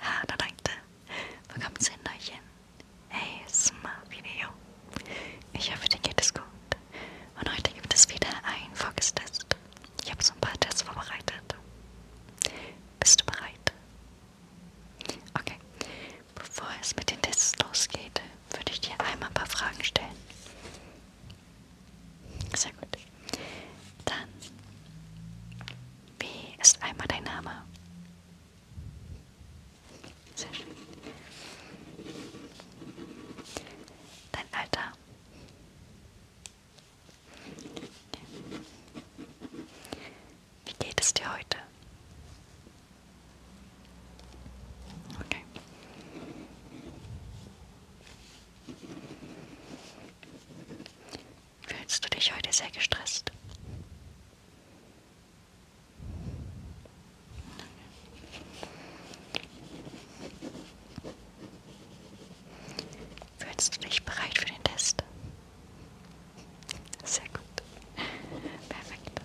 Herrleute, willkommen zu einem neuen ASMR-Video. Ich hoffe, dir geht es gut. Und heute gibt es wieder einen Focus-Test. Ich habe so ein paar Tests vorbereitet. Bist du bereit? Okay. Bevor es mit den Tests losgeht, würde ich dir einmal ein paar Fragen stellen. Sehr gut. Dann, wie ist einmal dein Name? Sehr schön. Dein Alter. Wie geht es dir heute? Okay. Fühlst du dich heute sehr gestresst? Fühlst du dich bereit für den Test? Sehr gut. Perfekt.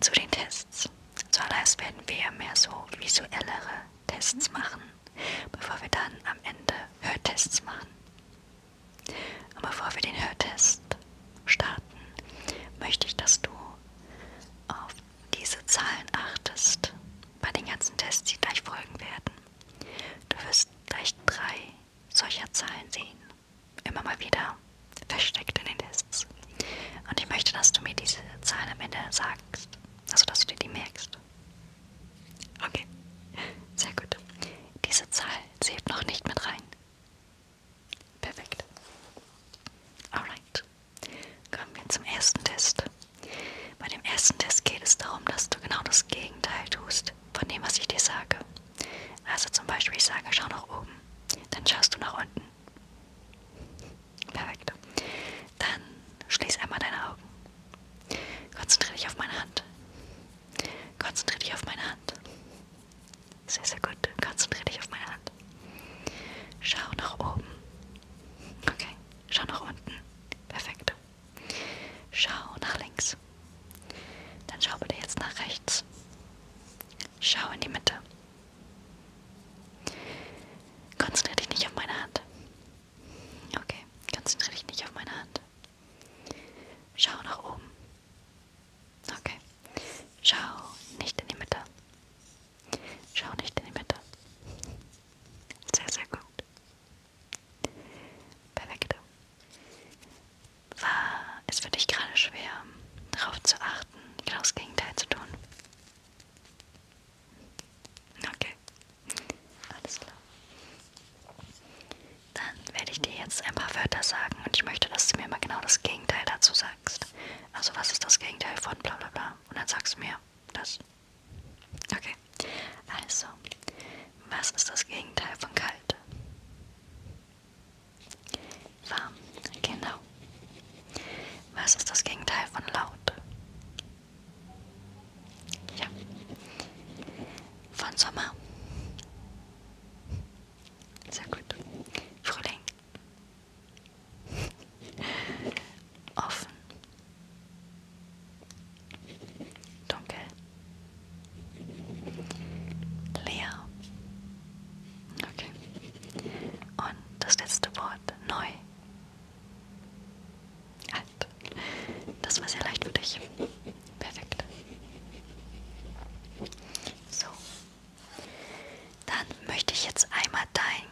Zu den Tests. Zuallererst werden wir mehr so visuellere Tests machen bevor wir dann am Ende Hörtests machen. Und bevor wir den Hörtest starten, möchte ich, dass du auf diese Zahlen achtest bei den ganzen Tests, die gleich folgen werden. Du wirst gleich drei solcher Zahlen sehen. Immer mal wieder versteckt in den Tests. Und ich möchte, dass du mir diese Zahlen am Ende sagst. Also, dass du dir die merkst. Okay, sehr gut. Diese Zahl zählt noch nicht mit rein. Perfekt. Alright. Kommen wir zum ersten Test. Bei dem ersten Test geht es darum, dass du genau das Gegenteil tust von dem, was ich dir sage. Also zum Beispiel, ich sage, schau nach oben. Dann schaust du nach unten. Perfekt. Dann schließ einmal deine Augen. Konzentriere dich auf meine Hand. Konzentriere dich auf meine Hand. Sehr, sehr gut. Konzentriere dich auf meine Hand. Schau nach oben. Okay. Schau nach unten. Perfekt. Schau nach links. Dann schau bitte jetzt nach rechts. Schau in die Mitte. Konzentriere dich nicht auf meine Hand. Okay, konzentriere dich nicht auf meine Hand. Schau nach oben. Okay. Schau nicht in die Mitte. Schau nicht in die Mitte. Sehr, sehr gut. Perfekt. War es für dich gerade schwer, darauf zu achten, genau das Gegenteil zu tun? Okay, alles klar. Dann werde ich dir jetzt ein paar Wörter sagen und ich möchte, dass du mir mal genau das Gegenteil dazu sagst. Also was ist das Gegenteil von bla bla bla? Und dann sagst du mir das. Okay, also, was ist das Gegenteil von kalt? Warm, genau. Was ist das Gegenteil von laut? Ja. Von Sommer. Sehr gut. Frühling. Offen. Dunkel. Leer. Okay. Und das letzte Wort neu. Halt. Das war sehr leicht für dich. Perfekt. So. Dann möchte ich jetzt einmal dein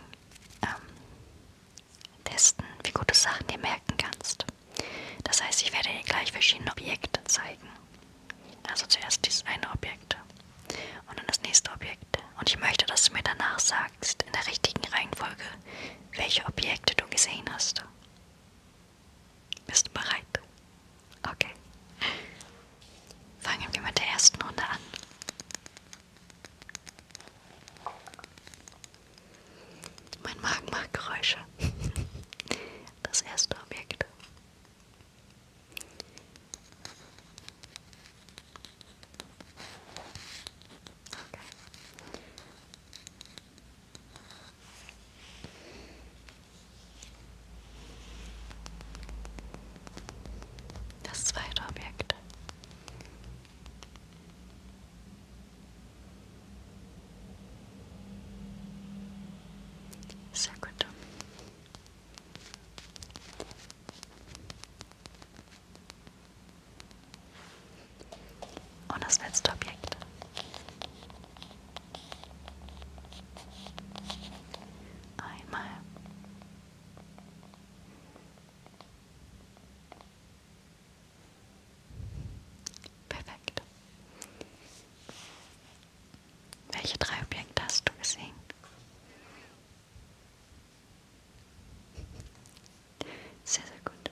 ähm, testen, wie gut du Sachen dir merken kannst. Das heißt, ich werde dir gleich verschiedene Objekte zeigen. Also zuerst dieses eine Objekt und dann das nächste Objekt. Und ich möchte, dass du mir danach sagst, sagst, in der richtigen Reihenfolge, welche Objekte du gesehen hast. Bist du bereit? Okay. Fangen wir mit der ersten Runde an. Mein Magen macht Geräusche. Das erste Objekt. Okay. Das zweite Objekt. Sehr gut. Und das letzte Objekt. Einmal. Perfekt. Welche drei Objekte hast du gesehen? Sehr, sehr gut.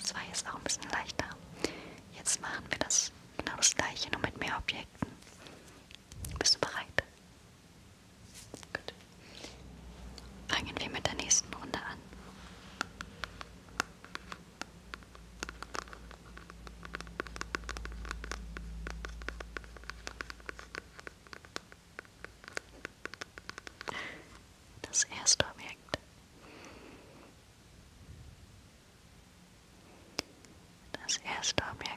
Das war jetzt auch ein bisschen leichter. Jetzt machen wir das genau das gleiche, nur mit mehr Objekten. Bist du bereit? Gut. Fangen wir mit der nächsten Runde an das erste Objekt. Das erste Objekt.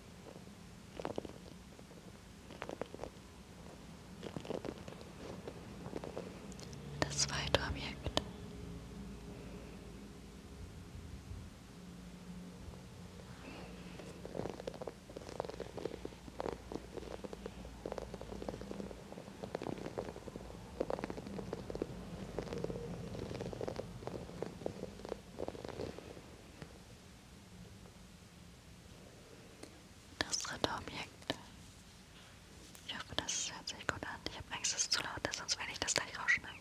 Das zweite Objekt. Das dritte Objekt. Ich hoffe, das hört sich gut an. Ich habe Angst, dass es zu laut ist, sonst werde ich das gleich rausschneiden.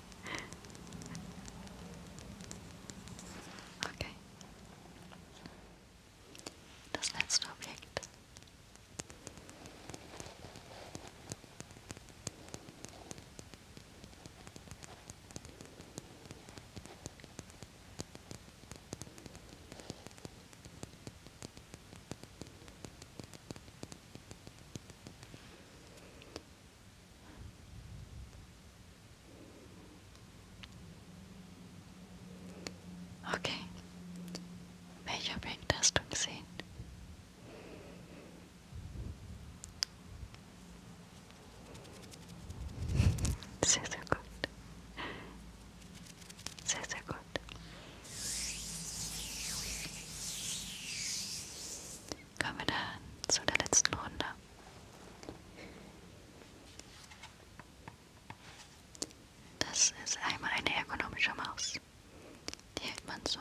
Okay. Das letzte Objekt. Okay. Welche Objekte hast du gesehen? Sehr, sehr gut. Sehr, sehr gut. Kommen wir dann zu der letzten Runde. Das ist einmal eine ergonomische Maus. Die hält man so.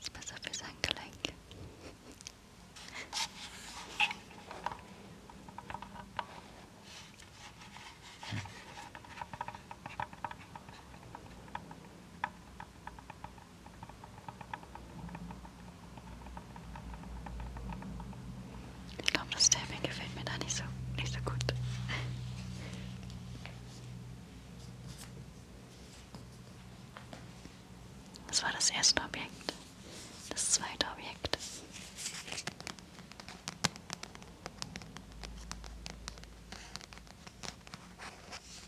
Ist besser für sein Gelenk. Ich glaube, das Timing gefällt mir da nicht so, nicht so gut. Das war das erste Objekt. Das zweite Objekt.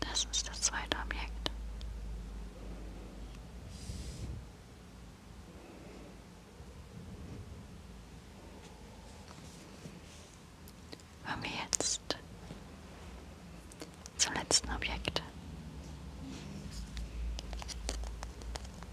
Das ist das zweite Objekt. Kommen wir jetzt zum letzten Objekt.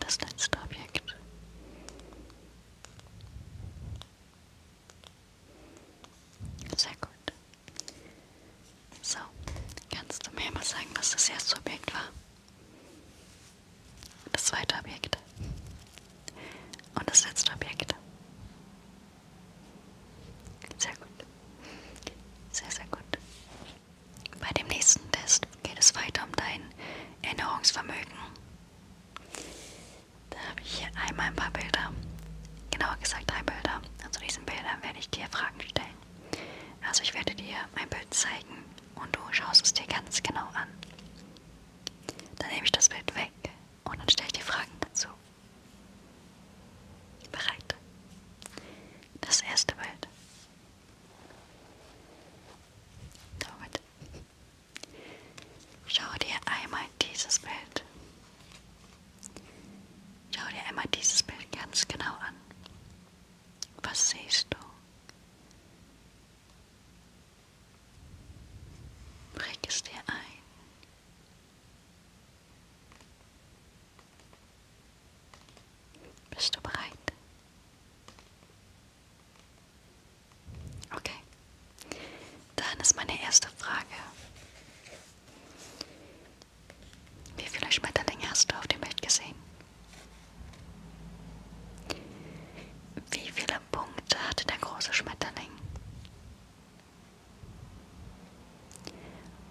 Das letzte Objekt. Sehr gut. So, kannst du mir mal sagen, was das erste Objekt war? Das zweite Objekt. Und das letzte Objekt. Sehr gut. Sehr, sehr gut. Bei dem nächsten Test geht es weiter um dein Erinnerungsvermögen. Da habe ich hier einmal ein paar Bilder. Genauer gesagt drei Bilder. Und zu also diesen Bildern werde ich dir Fragen stellen. Also ich werde dir ein Bild zeigen und du schaust es dir ganz genau an. Dann nehme ich das Bild weg und dann stelle ich dir Fragen dazu. Bereit? Das erste Bild. Damit. Schau dir einmal dieses Bild. Schau dir einmal dieses Bild ganz genau an. Was siehst du? Präg es dir ein. Bist du bereit? Okay. Dann ist meine erste Frage. Wie viele Schmetterlinge hast du auf dem Bild gesehen? Wie viele Punkte hatte der große Schmetterling?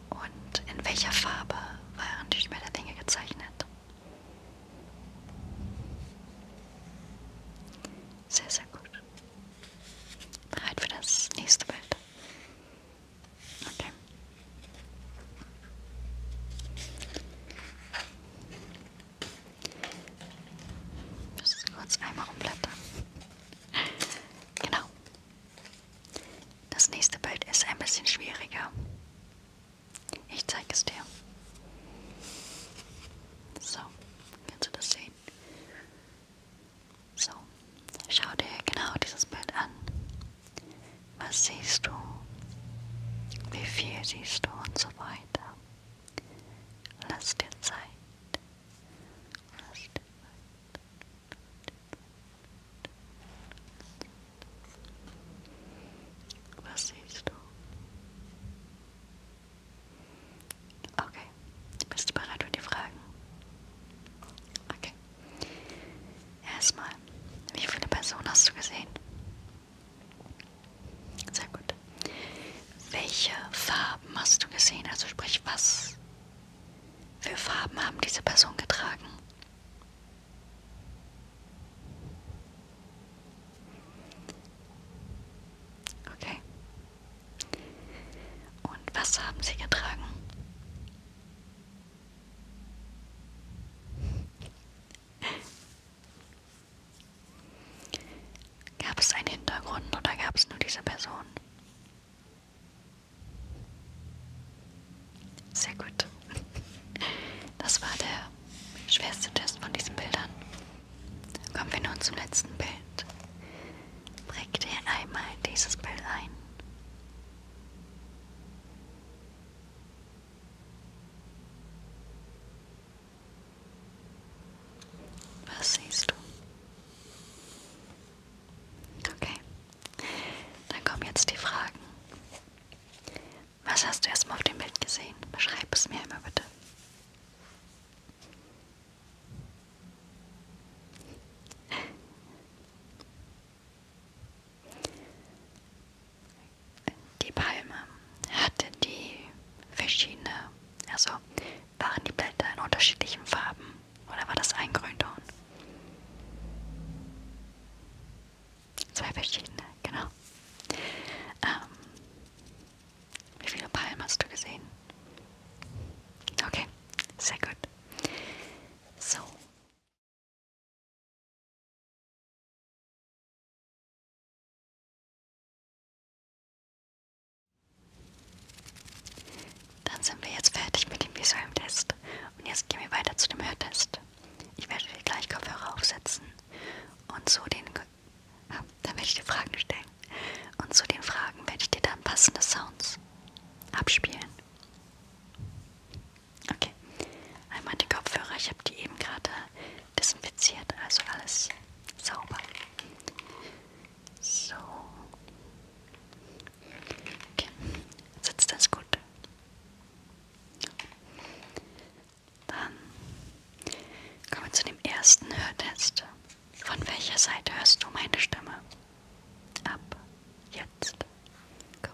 Und in welcher Farbe waren die Schmetterlinge gezeichnet? Sehr, sehr gut. Bereit für das nächste Bild. Okay. Ich muss es kurz einmal umblättern. Genau. Das nächste Bild ist ein bisschen schwieriger. Ich zeige es dir. So, kannst du das sehen? So, schau dir genau dieses Bild an. Was siehst du? Wie viel siehst du und so weiter? Lass dir Zeit. Lass dir Zeit. Was siehst du? Okay, bist du bereit für die Fragen? Okay. Erstmal, wie viele Personen hast du gesehen? Sehr gut. Welche Farben hast du gesehen? Also sprich, was für Farben haben diese Person getragen? Okay. Und was haben sie getragen? Gab es einen Hintergrund oder gab es nur diese Person? Sehr gut. Das war der schwerste Test von diesen Bildern. Kommen wir nun zum letzten Bild. Präg dir einmal dieses Bild ein. Was siehst du? Okay. Dann kommen jetzt die Fragen. Was hast du erstmal auf dem Bild gesehen? Beschreib es mir einmal bitte die Palme hatte die verschiedene, also waren die Blätter in unterschiedlichen Farben oder war das ein Grünton? Zwei verschiedene, genau. Ähm, wie viele Palmen hast du gesehen? Okay, sehr gut. So. Dann sind wir jetzt fertig mit dem visuellen Test und jetzt gehen wir weiter zu dem Hörtest. Ich werde dir gleich Kopfhörer aufsetzen und so den ah, dann werde ich dir Fragen stellen und zu den Fragen werde ich dir dann passende Sounds abspielen. Okay. Einmal die Kopfhörer. Ich habe die eben gerade desinfiziert, also alles sauber. So. Okay. Sitzt das gut? Dann kommen wir zu dem ersten Hörtest. Von welcher Seite hörst du meine Stimme? Ab jetzt. Gut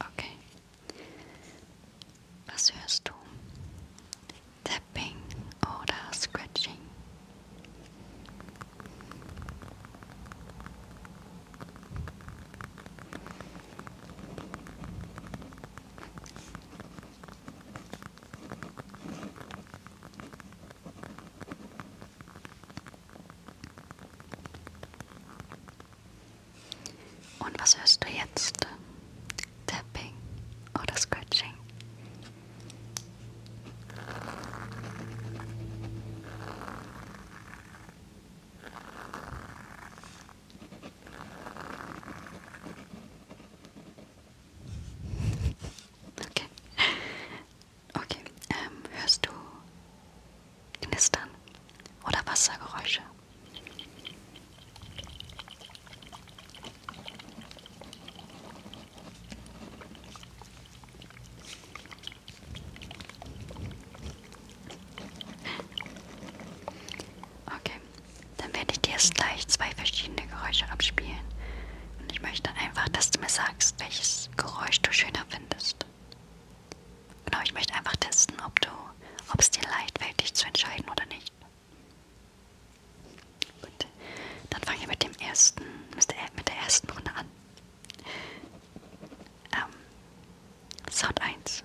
Okay. Was hörst du? Tapping oder Scratching? Und was hörst du jetzt? Tapping oder Scratching? Okay. Okay. Ähm, hörst du Knistern oder Wassergeräusche? Okay, dann werde ich dir jetzt gleich zwei verschiedene Geräusche abspielen. Und ich möchte einfach, dass du mir sagst, welches Geräusch du schöner findest. Genau, ich möchte einfach testen, ob du, ob es dir leicht fällt, dich zu entscheiden oder nicht. Gut, dann fangen wir mit dem ersten, mit der ersten Runde an. Ähm, Sound 1.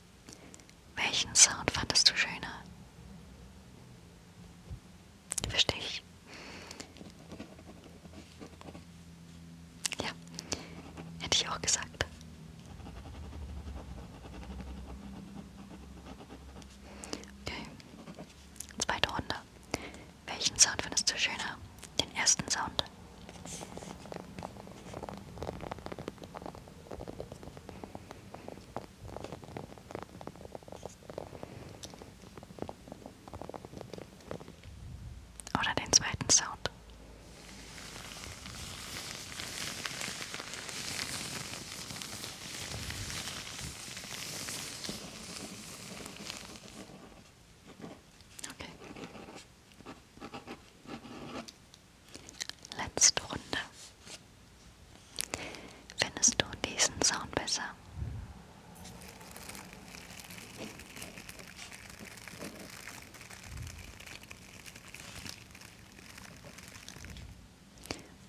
Welchen Sound fandest du schöner? Verstehe ich. Ja, hätte ich auch gesagt. Okay, zweite Runde. Welchen Sound findest du schöner? Den ersten Sound. Oder den zweiten Sound. Okay. Letzte Runde. Findest du diesen Sound besser?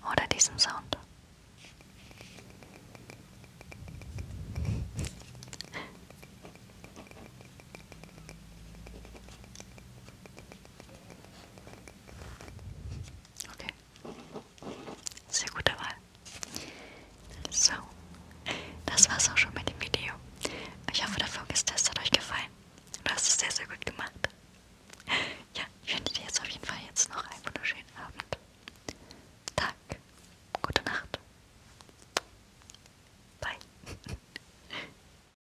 Oder diesen Sound? Okay. Sehr gute Wahl. So, das war's auch schon mit dem Video. Ich hoffe, der Focus-Test hat euch gefallen. Du hast es sehr, sehr gut gemacht. Ja, ich wünsche dir jetzt auf jeden Fall jetzt noch einen wunderschönen Abend. Tag. Gute Nacht. Bye.